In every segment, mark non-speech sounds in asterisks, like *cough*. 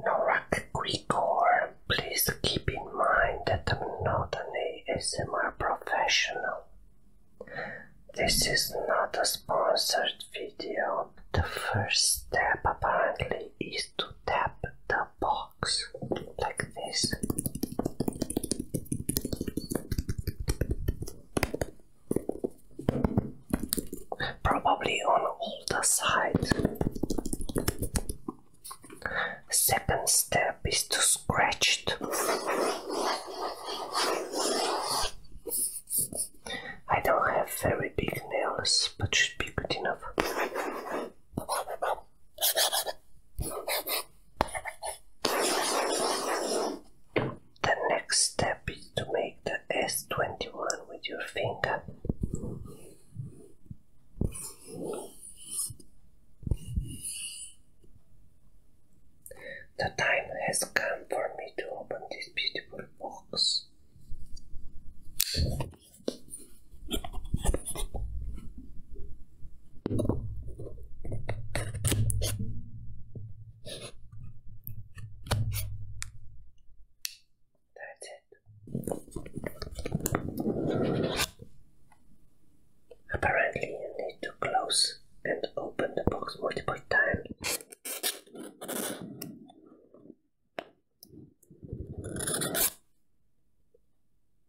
McGregor, please keep in mind that I'm not an ASMR professional. This is not a sponsored video. The first step apparently is to tap the box like this probably on older side. Second step is to scratch it. I don't have very big nails, but should be good enough. The next step is to make the S21 with your finger. The time has come for me to open this beautiful box. That's it. Apparently, you need to close and open the box multiple times.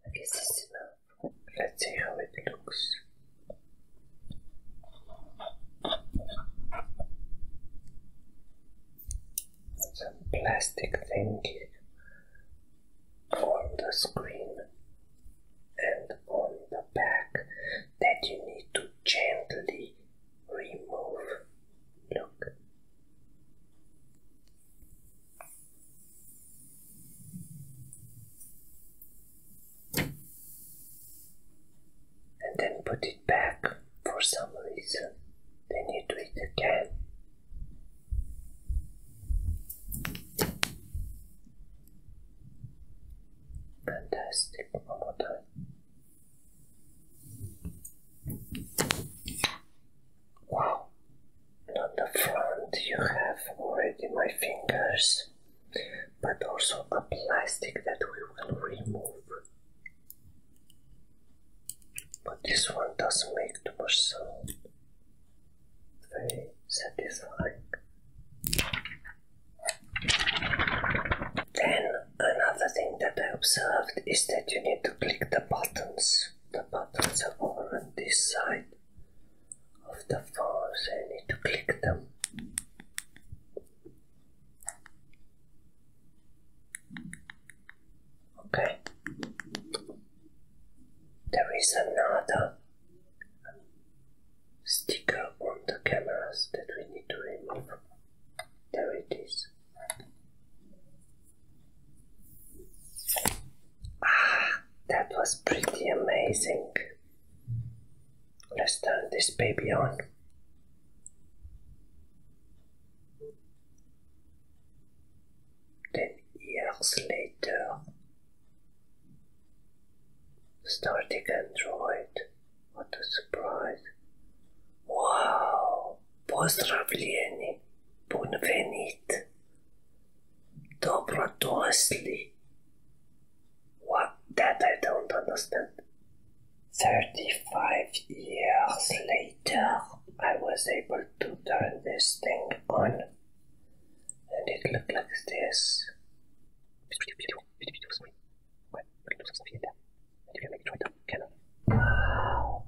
I guess that's enough. Let's see how it looks some plastic thing on the screen and on the back that you need to gently remove. Look. And then put it back for some reason. Then you do it again. Fantastic, one Wow, not the front, you have already my fingers, but also a plastic that we will remove but this one doesn't make too much sound. Very satisfying. Then another thing that I observed is that you need to click the buttons. The buttons are all on this side of the phone, so you need to click them. Okay. There is another sticker on the cameras that we need to remove. There it is. Ah, that was pretty amazing. Let's turn this baby on. Then years later, started Android. What a surprise! Wow! Pozdravljeni! Bunvenit! Dobrodošli! What? That I don't understand. 35 years later, I was able to turn this thing on, and it looked like this. Wow!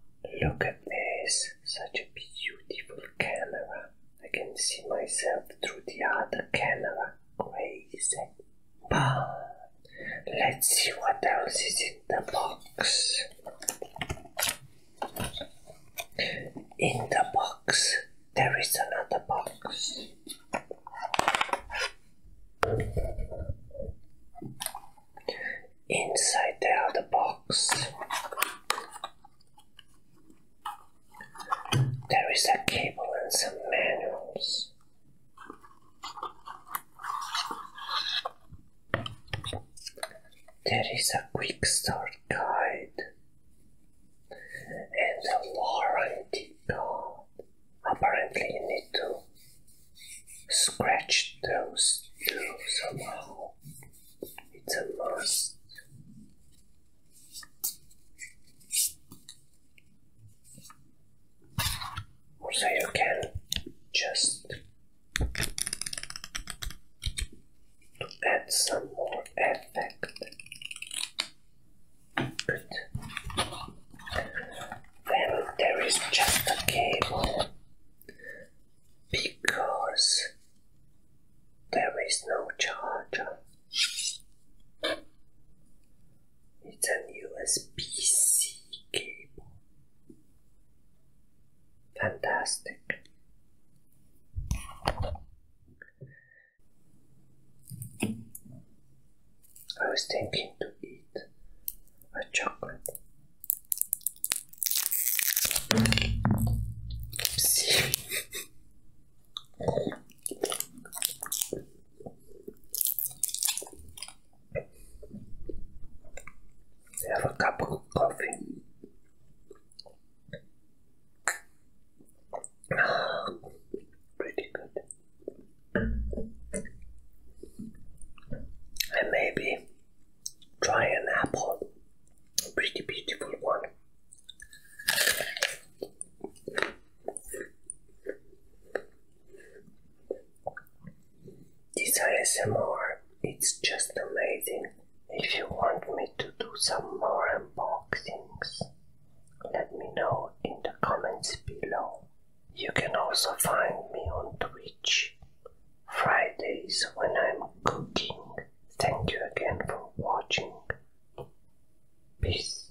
*gasps* Look at this! Such a beautiful camera. I can see myself through the other camera. Crazy. But let's see what else is in the box. In the box, there is another box. Inside the other box, there is a cable and some manuals. There is a quick start guide and a warranty card. Apparently, you need to scratch those two somehow. It's a must. So you can just add some more effect. Good. there is just a cable because there is no charger. It's an USB C cable. Fantastic. I was thinking to eat a chocolate. *laughs* Have a cup of coffee. Pretty good. And maybe try an apple. A pretty beautiful one. This ASMR, it's just amazing. If you want me to do some more unboxings, let me know in the comments below. You can also find me on Twitch Fridays when I'm cooking. Thank you again for watching. Peace.